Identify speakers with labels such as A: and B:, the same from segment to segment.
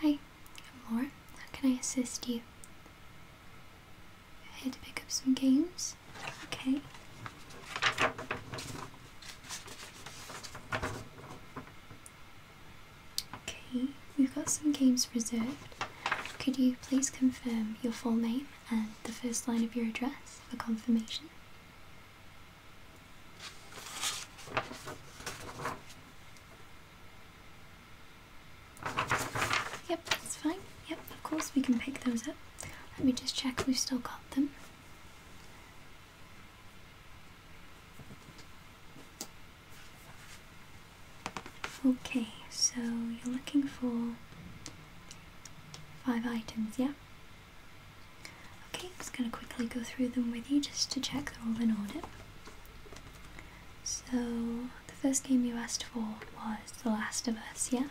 A: Hi, I'm Laura. How can I assist you? I had to pick up some games. Okay. Okay, we've got some games reserved. Could you please confirm your full name and the first line of your address for confirmation? Yep, that's fine. Yep, of course we can pick those up. Let me just check we've still got them. Okay, so you're looking for five items, Yep. Okay, I'm just going to quickly go through them with you just to check they're all in order. So, the first game you asked for was The Last of Us, yeah?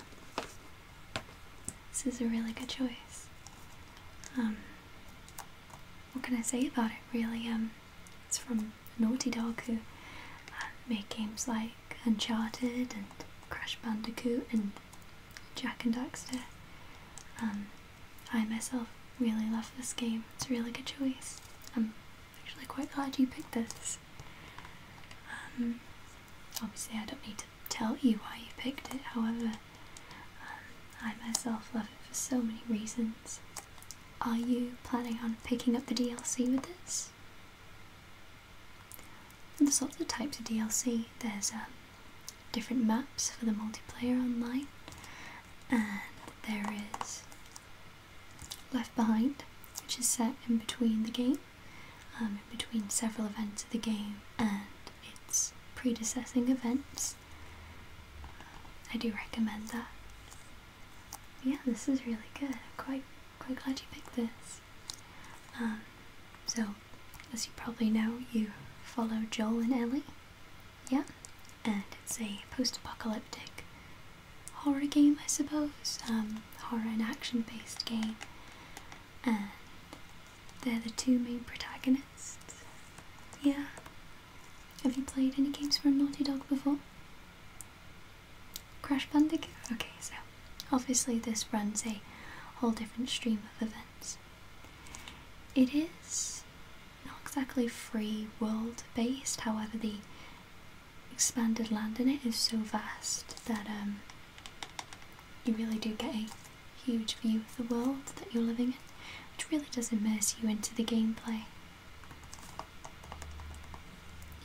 A: This is a really good choice. Um, what can I say about it, really? Um, it's from Naughty Dog, who uh, make games like Uncharted and Crash Bandicoot and Jack and Daxter. Um, I myself really love this game. It's a really good choice. I'm actually quite glad you picked this. Um, obviously, I don't need to tell you why you picked it, however, um, I myself love it for so many reasons. Are you planning on picking up the DLC with this? There's lots of types of DLC. There's um, different maps for the multiplayer online and there is Left Behind, which is set in between the game, um, in between several events of the game and its predecessing events. I do recommend that. Yeah, this is really good. I'm quite, quite glad you picked this. Um, so, as you probably know, you follow Joel and Ellie yeah, and it's a post-apocalyptic horror game, I suppose, um, horror and action-based game, and they're the two main protagonists. Yeah. Have you played any games for Naughty Dog before? Crash Bandicoot? Okay, so obviously this runs a whole different stream of events. It is not exactly free world based, however, the expanded land in it is so vast that um, you really do get a huge view of the world that you're living in, which really does immerse you into the gameplay.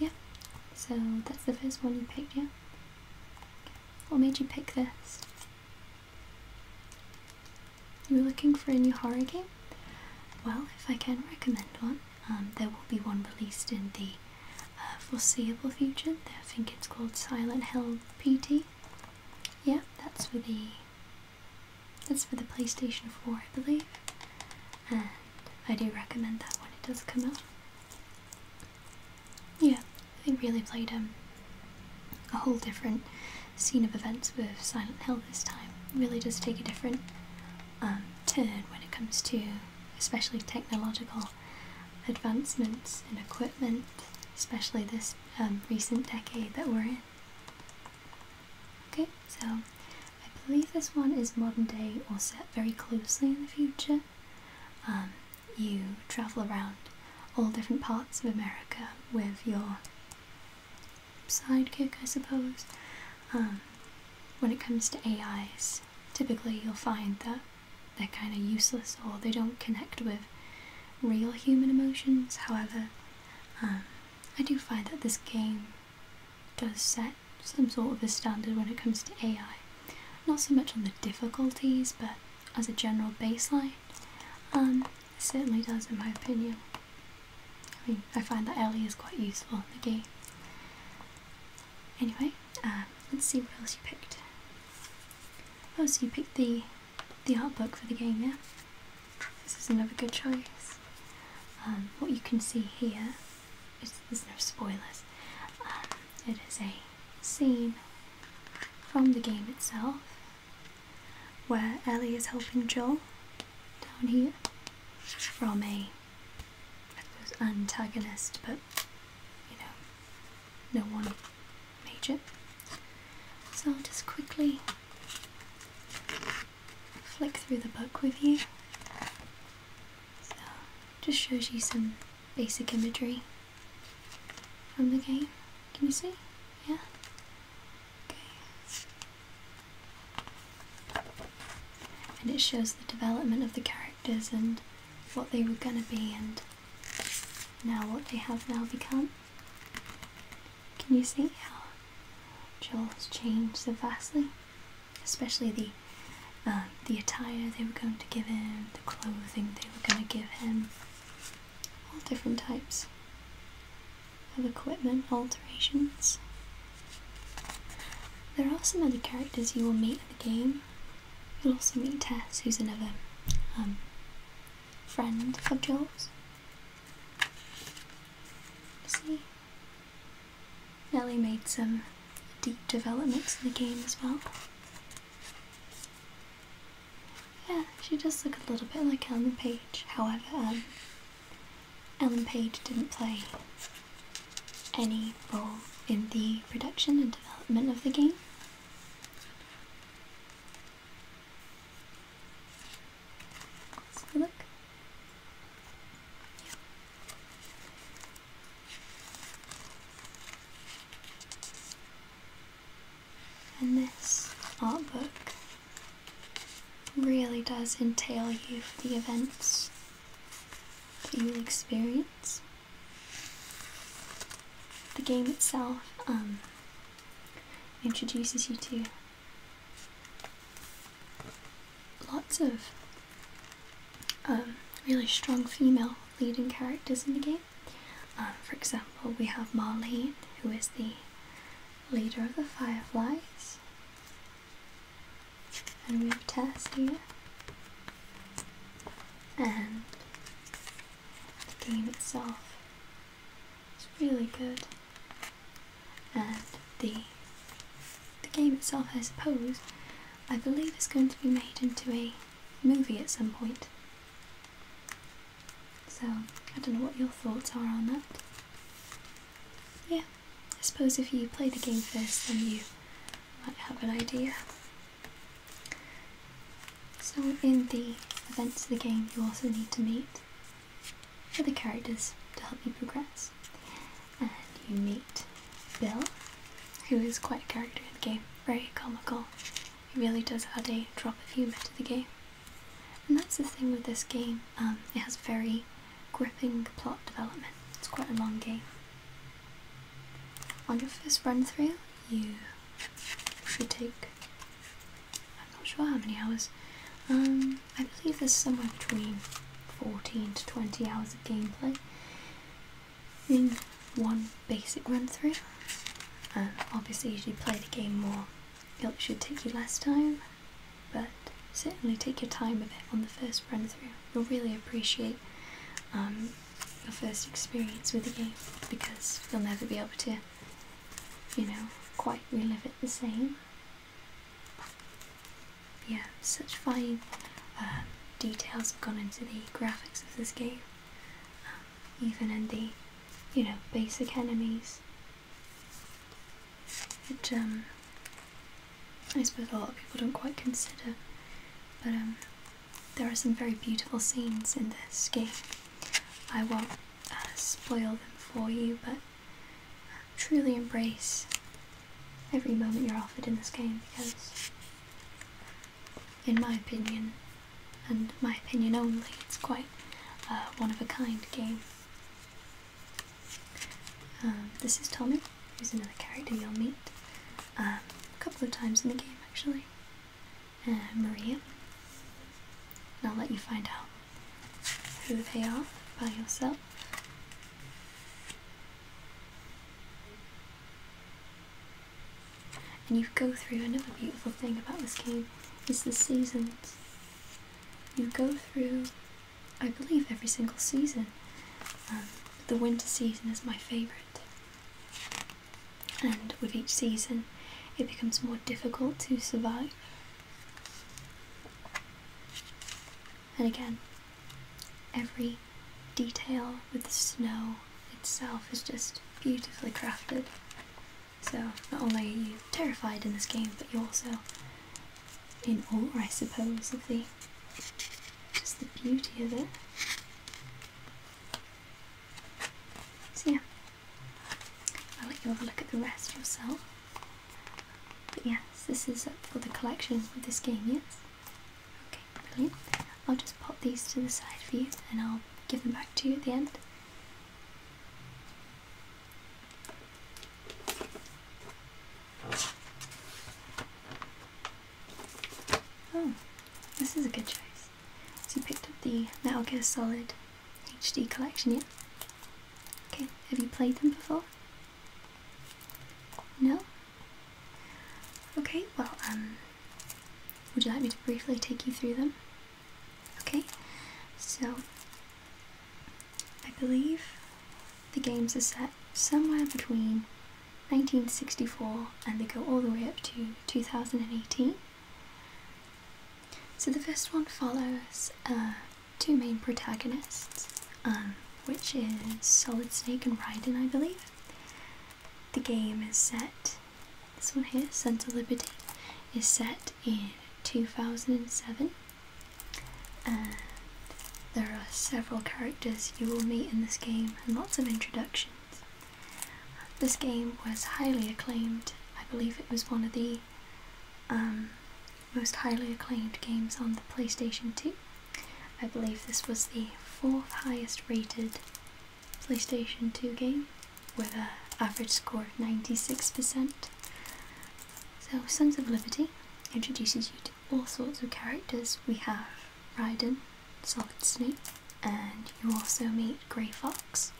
A: Yeah, so that's the first one you picked, yeah? What made you pick this? You're looking for a new horror game? Well, if I can recommend one, um, there will be one released in the uh, foreseeable future. I think it's called Silent Hill PT. Yeah, that's for the that's for the PlayStation 4, I believe. And I do recommend that when it does come out. Yeah, they really played um, a whole different scene of events with Silent Hill this time really does take a different um, turn when it comes to especially technological advancements in equipment, especially this um, recent decade that we're in. Okay, so I believe this one is modern day or set very closely in the future. Um, you travel around all different parts of America with your sidekick, I suppose. Um, when it comes to AIs, typically you'll find that they're kind of useless or they don't connect with real human emotions. However, um, I do find that this game does set some sort of a standard when it comes to AI. Not so much on the difficulties, but as a general baseline. Um, it certainly does, in my opinion. I mean, I find that Ellie is quite useful in the game. Anyway, um, let's see what else you picked. Oh, so you picked the the art book for the game, yeah? This is another good choice. Um, what you can see here is there's no spoilers. Um, it is a scene from the game itself where Ellie is helping Joel down here from a antagonist, but you know, no one major. So I'll just quickly flick through the book with you. So just shows you some basic imagery from the game. Can you see? Yeah? And it shows the development of the characters and what they were going to be and now what they have now become. Can you see how Joel changed so vastly? Especially the um, the attire they were going to give him, the clothing they were going to give him, all different types of equipment alterations. There are some other characters you will meet in the game. You'll also meet Tess, who's another um, friend of Jules. See, Nelly made some deep developments in the game as well. Yeah, she does look a little bit like Ellen Page. However, um, Ellen Page didn't play any role in the production and development of the game. Let's look. Yeah. this art book really does entail you for the events that you'll experience. The game itself um, introduces you to lots of um, really strong female leading characters in the game. Um, for example, we have Molly, who is the leader of the fireflies. And we have Tess here. And the game itself is really good. And the the game itself, I suppose, I believe is going to be made into a movie at some point. So I don't know what your thoughts are on that yeah, I suppose if you play the game first, then you might have an idea. So in the events of the game, you also need to meet other characters to help you progress. And you meet Bill, who is quite a character in the game, very comical. He really does add a drop of humour to the game. And that's the thing with this game, um, it has very gripping plot development. It's quite a long game. On your first run through, you should take, I'm not sure how many hours, um, I believe there's somewhere between 14 to 20 hours of gameplay in one basic run through. And um, obviously if you play the game more it should take you less time, but certainly take your time with it on the first run through. You'll really appreciate your um, first experience with the game because you'll never be able to, you know, quite relive it the same. Yeah, such fine uh, details have gone into the graphics of this game, um, even in the, you know, basic enemies which um, I suppose a lot of people don't quite consider. But um, there are some very beautiful scenes in this game. I won't uh, spoil them for you, but uh, truly embrace every moment you're offered in this game because, in my opinion, and my opinion only, it's quite uh, one of a kind game. Um, this is Tommy, who's another character you'll meet um, a couple of times in the game actually. And uh, Maria. And I'll let you find out who they are by yourself. And you go through another beautiful thing about this game is the seasons. You go through I believe, every single season. Um, the winter season is my favourite, and with each season, it becomes more difficult to survive. And again, every detail with the snow itself is just beautifully crafted. So, not only are you terrified in this game, but you also in all, I suppose, of the just the beauty of it. So yeah, I'll let you have a look at the rest yourself. But yes, this is for the collection of this game, yes? Okay, brilliant. I'll just pop these to the side for you and I'll give them back to you at the end. Oh, this is a good choice. So you picked up the Metal Gear Solid HD collection, yeah? Okay, have you played them before? No? Okay, well, um, would you like me to briefly take you through them? Okay, so I believe the games are set somewhere between 1964 and they go all the way up to 2018. So the first one follows uh, two main protagonists, um, which is Solid Snake and Raiden, I believe. The game is set, this one here, Sense of Liberty, is set in 2007 there are several characters you will meet in this game and lots of introductions. This game was highly acclaimed. I believe it was one of the um, most highly acclaimed games on the PlayStation 2. I believe this was the fourth highest rated PlayStation 2 game with an average score of 96%. So Sons of Liberty introduces you to all sorts of characters. We have Raiden, Solid Snake, and you also meet Grey Fox,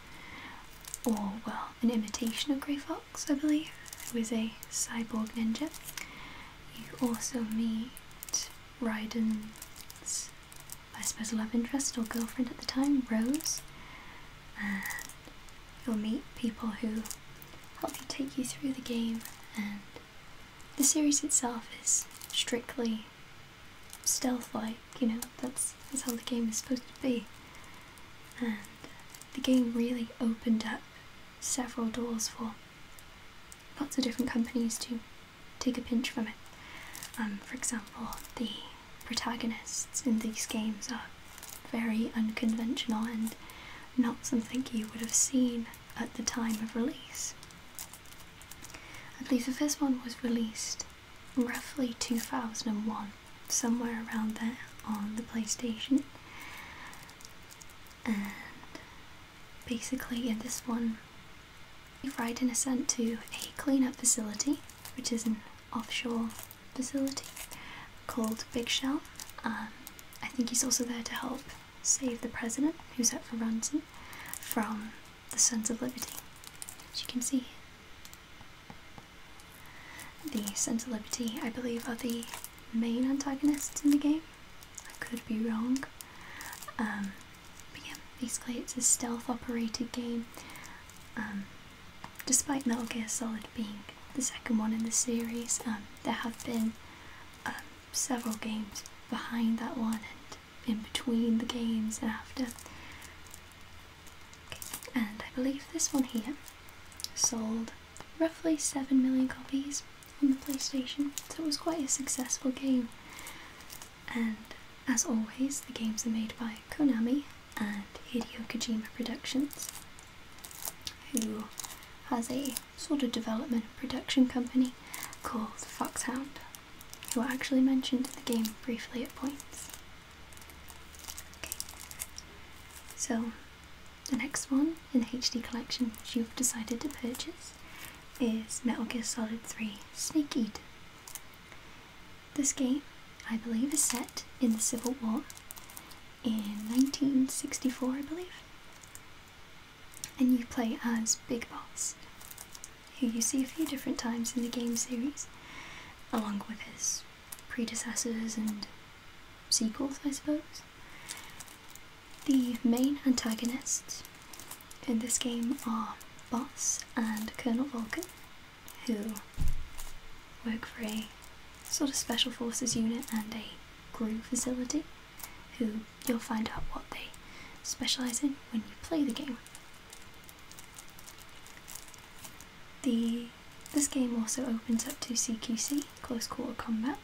A: or well, an imitation of Grey Fox, I believe, who is a cyborg ninja. You also meet Raiden's, I suppose, love interest or girlfriend at the time, Rose, and you'll meet people who help you take you through the game and the series itself is strictly stealth like, you know, that's that's how the game is supposed to be. And the game really opened up several doors for lots of different companies to take a pinch from it. Um, for example, the protagonists in these games are very unconventional and not something you would have seen at the time of release. I believe the first one was released roughly 2001, somewhere around there on the PlayStation. And basically, in this one, you are riding a sent to a cleanup facility, which is an offshore facility called Big Shell. Um, I think he's also there to help save the president, who's up for ransom, from the Sons of Liberty, as you can see. The Sons of Liberty, I believe, are the main antagonists in the game. I could be wrong. Um, but yeah, basically it's a stealth operated game. Um, despite Metal Gear Solid being the second one in the series. Um, there have been um, several games behind that one and in between the games and after. And I believe this one here sold roughly 7 million copies on the PlayStation, so it was quite a successful game. And as always, the games are made by Konami and Hideo Kojima Productions who has a sort of development and production company called Foxhound, who I actually mentioned in the game briefly at points. Okay. So, the next one in the HD collection which you've decided to purchase is Metal Gear Solid 3 Snake Eater. This game, I believe, is set in the Civil War in 1964, I believe. And you play as Big Boss, who you see a few different times in the game series, along with his predecessors and sequels, I suppose. The main antagonists in this game are Boss and Colonel Vulcan, who work for a sort of special forces unit and a Grew facility, who you'll find out what they specialise in when you play the game. The this game also opens up to CQC, close quarter combat,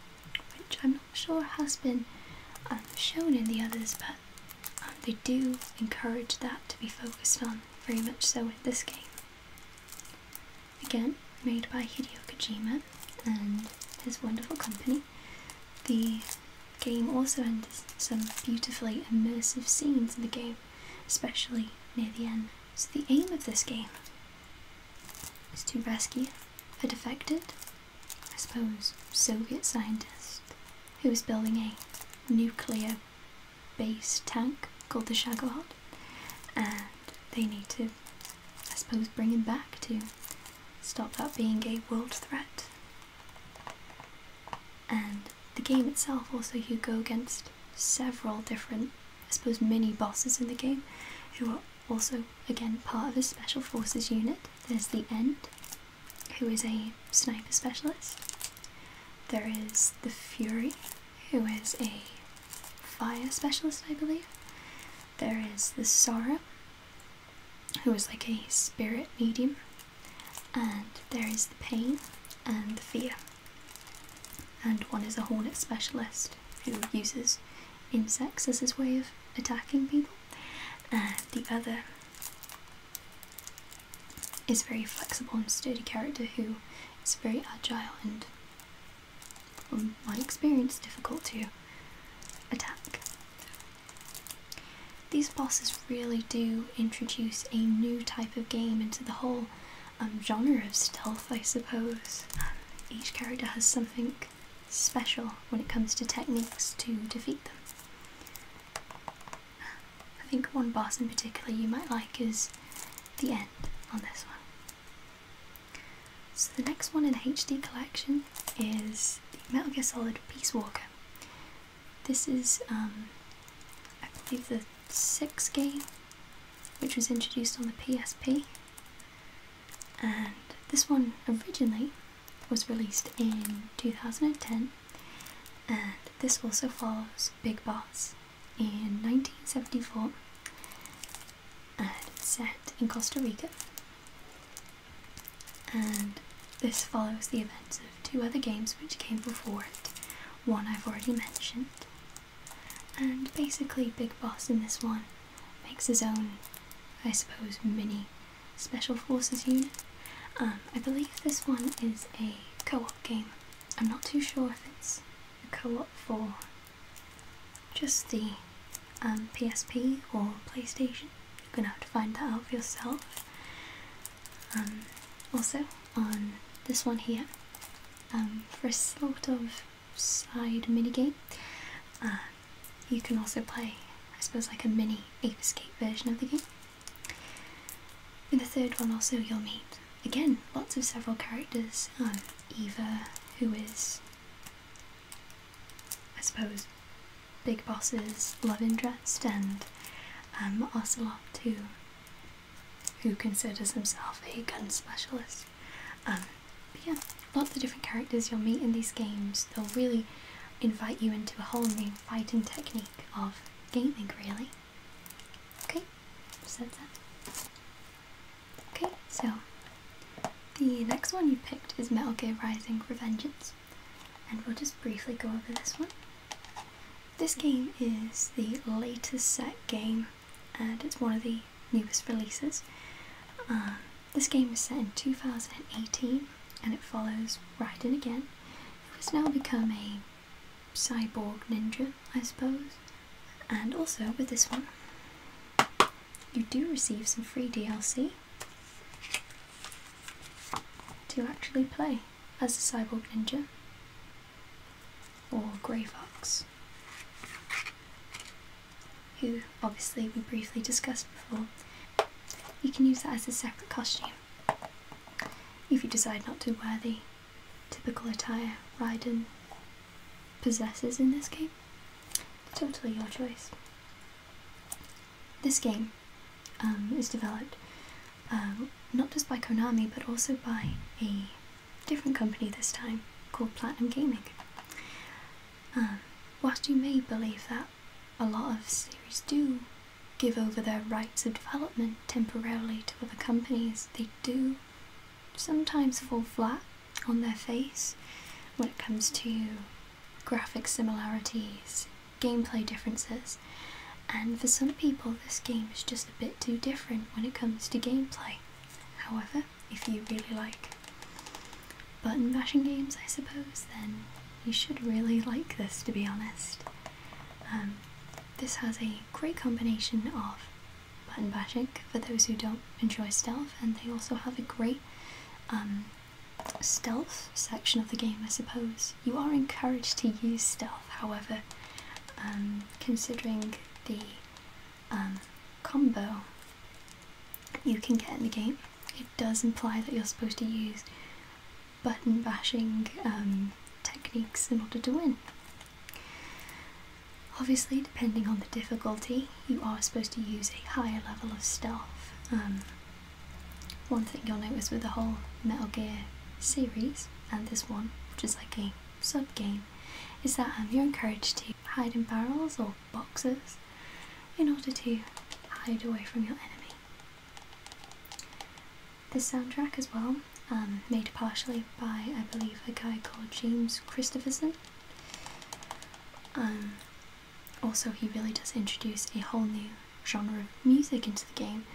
A: which I'm not sure has been um, shown in the others, but um, they do encourage that to be focused on very much so in this game. Again, made by Hideo Kojima and his wonderful company. The game also has some beautifully immersive scenes in the game, especially near the end. So the aim of this game is to rescue a defected, I suppose, Soviet scientist who is building a nuclear based tank called the Shagahod and they need to I suppose bringing back to stop that being a world threat. And the game itself also you go against several different I suppose mini bosses in the game who are also again part of a special forces unit. There's the End, who is a sniper specialist. There is the Fury, who is a fire specialist, I believe. There is the Sora, who is like a spirit medium, and there is the Pain and the Fear. And one is a Hornet specialist who uses insects as his way of attacking people, and the other is a very flexible and sturdy character who is very agile and my experience, difficult to attack. These bosses really do introduce a new type of game into the whole um, genre of stealth, I suppose. each character has something special when it comes to techniques to defeat them. I think one boss in particular you might like is the end on this one. So the next one in HD collection is Metal Gear Solid Peace Walker. This is, um, I believe, the sixth game, which was introduced on the PSP, and this one originally was released in 2010, and this also follows Big Boss in 1974 and uh, set in Costa Rica. And this follows the events of two other games which came before it, one I've already mentioned. And basically, Big Boss in this one makes his own, I suppose, mini Special Forces unit. Um, I believe this one is a co-op game. I'm not too sure if it's a co-op for just the PSP um, or PlayStation. You're gonna have to find that out for yourself. Um, also on this one here, um, for a sort of side mini game, uh, you can also play, I suppose, like a mini Escape version of the game. In the third one, also you'll meet again lots of several characters. Eva, who is I suppose Big bosses, love interest and um, too, who considers himself a gun specialist. Um, but yeah, lots of different characters you'll meet in these games. They'll really invite you into a whole new fighting technique of gaming really. Okay, so that's Okay, so the next one you picked is Metal Gear Rising Revengeance, and we'll just briefly go over this one. This game is the latest set game, and it's one of the newest releases. Um, this game is set in 2018, and it follows Raiden again, who has now become a cyborg ninja, I suppose. And also with this one, you do receive some free DLC to actually play as a cyborg ninja or Grey Fox, who obviously we briefly discussed before. You can use that as a separate costume if you decide not to wear the typical attire Raiden possesses in this game. Totally your choice. This game um, is developed uh, not just by Konami but also by a different company this time called Platinum Gaming. Um, whilst you may believe that a lot of series do give over their rights of development temporarily to other companies, they do sometimes fall flat on their face when it comes to graphic similarities, gameplay differences, and for some people, this game is just a bit too different when it comes to gameplay. However, if you really like button bashing games, I suppose, then you should really like this to be honest. Um, this has a great combination of button bashing for those who don't enjoy stealth, and they also have a great um, stealth section of the game, I suppose. You are encouraged to use stealth, however, um, considering the um, combo you can get in the game, it does imply that you're supposed to use button bashing techniques in order to win. Obviously, depending on the difficulty, you are supposed to use a higher level of stealth. Um, one thing you'll notice with the whole Metal Gear series, and this one, which is like a sub game, is that um, you're encouraged to hide in barrels or boxes in order to hide away from your enemy. This soundtrack, as well, um, made partially by, I believe, a guy called James Christopherson. Um, also, he really does introduce a whole new genre of music into the game.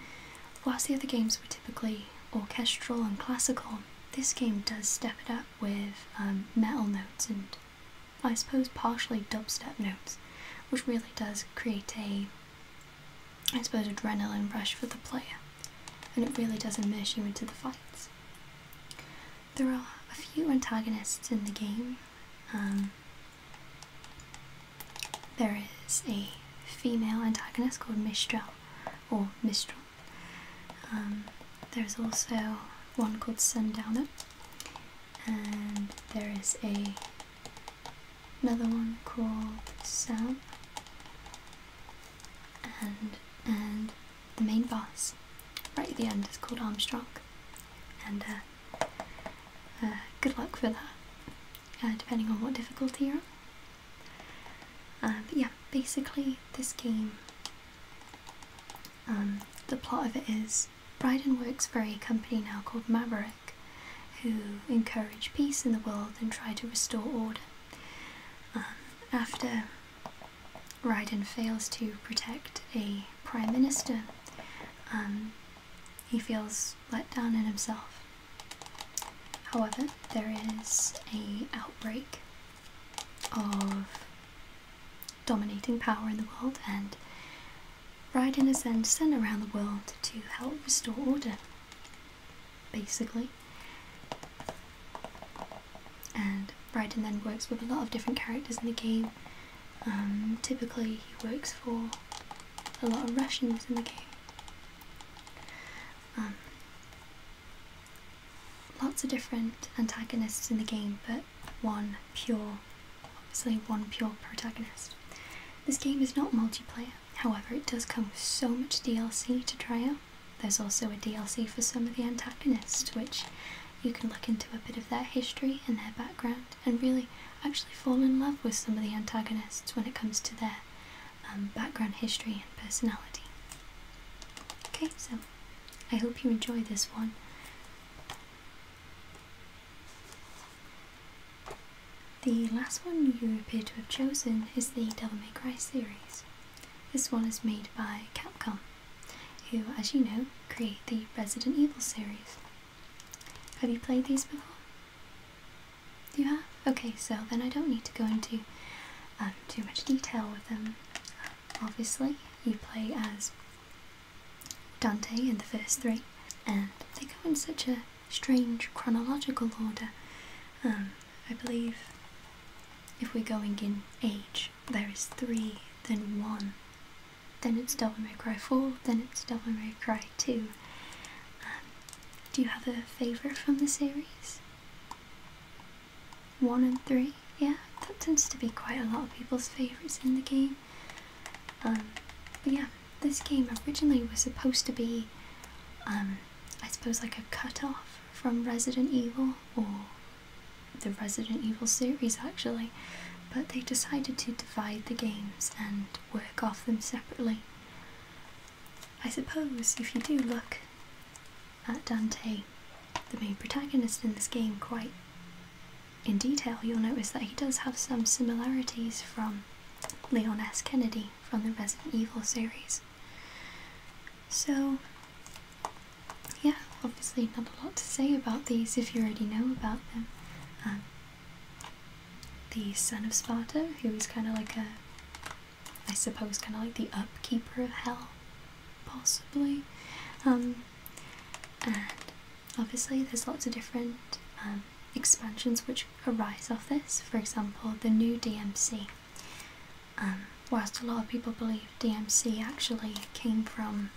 A: Whilst the other games were typically orchestral and classical, this game does step it up with um, metal notes and I suppose partially dubstep notes, which really does create a, I suppose, adrenaline rush for the player, and it really does immerse you into the fights. There are a few antagonists in the game. Um, there is a female antagonist called Mistral, or Mistral. Um, there's also one called Sundowner, and there is another one called Sam, and and the main boss, right at the end, is called Armstrong. And uh, uh, good luck for that, uh, depending on what difficulty you're on. but yeah, basically, this game, um, the plot of it is Bryden works for a company now called Maverick, who encourage peace in the world and try to restore order. Um, after Raiden fails to protect a prime minister, um, he feels let down in himself. However, there is a outbreak of dominating power in the world, and Raiden is then sent around the world to help restore order. Basically, and Brydon then works with a lot of different characters in the game. Um, typically, he works for a lot of Russians in the game. Um, lots of different antagonists in the game, but one pure, obviously one pure protagonist. This game is not multiplayer, however, it does come with so much DLC to try out. There's also a DLC for some of the antagonists, which you can look into a bit of their history and their background and really actually fall in love with some of the antagonists when it comes to their um, background history and personality. Okay, so I hope you enjoy this one. The last one you appear to have chosen is the Devil May Cry series. This one is made by Capcom who, as you know, create the Resident Evil series. Have you played these before? You have? Okay, so then I don't need to go into um, too much detail with them. Obviously, you play as Dante in the first three, and they go in such a strange chronological order. Um, I believe if we're going in age, there is three, then one, then it's Devil May Cry 4, then it's Devil May Cry 2. Um, do you have a favourite from the series? One and three? Yeah, that tends to be quite a lot of people's favourites in the game. Um, but yeah, this game originally was supposed to be, um, I suppose, like a cut off from Resident Evil or the Resident Evil series actually, but they decided to divide the games and work off them separately. I suppose if you do look at Dante, the main protagonist in this game, quite in detail, you'll notice that he does have some similarities from Leon S. Kennedy from the Resident Evil series. So, yeah, obviously not a lot to say about these if you already know about them. Um, the son of Sparta, who is kind of like a, I suppose, kind of like the upkeeper of hell, possibly. Um, and obviously, there's lots of different um, expansions which arise off this. For example, the new DMC. whilst a lot of people believe DMC actually came from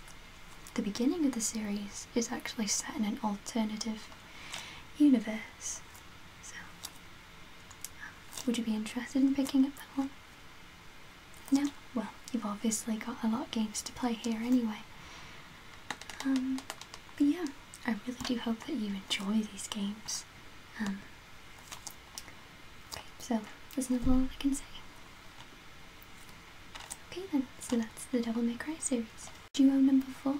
A: the beginning of the series is actually set in an alternative universe. So, um, would you be interested in picking up that one? No? Well, you've obviously got a lot of games to play here anyway. Um, but yeah, I really do hope that you enjoy these games. Um, okay, so that's not all I can say. Okay then, so that's the Devil May Cry series. Duo number four?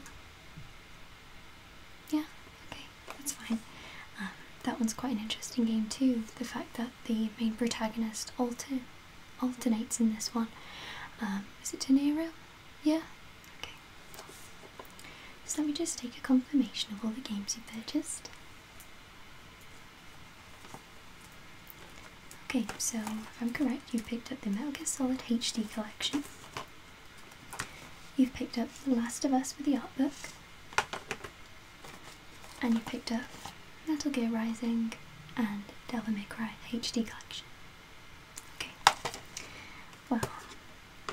A: Yeah, okay, that's fine. Um, that one's quite an interesting game too, the fact that the main protagonist alternates in this one. Um, is it De Yeah? Okay. So let me just take a confirmation of all the games you purchased. Okay, so if I'm correct, you picked up the Metal Gear Solid HD collection. You've picked up The Last of Us with the art book. And you picked up Metal Gear Rising and Devil May Cry HD collection. Okay. Well,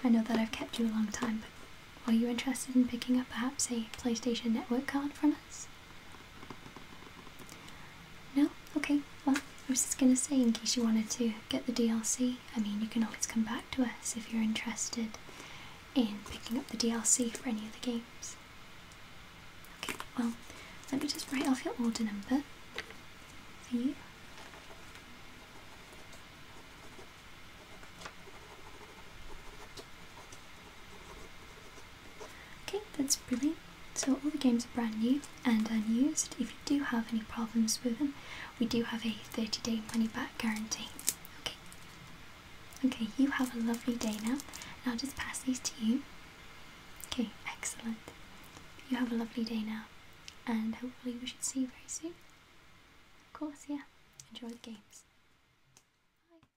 A: I know that I've kept you a long time, but are you interested in picking up perhaps a PlayStation Network card from us? No? Okay, well, I was just going to say in case you wanted to get the DLC, I mean, you can always come back to us if you're interested in picking up the DLC for any of the games. Okay, well, let me just write off your order number for you. Okay, that's brilliant. So all the games are brand new and unused. If you do have any problems with them, we do have a 30-day money-back guarantee. Okay. Okay, you have a lovely day now, and I'll just pass these to you. Okay, excellent. You have a lovely day now, and hopefully we should see you very soon. Of course, yeah. Enjoy the games. Bye.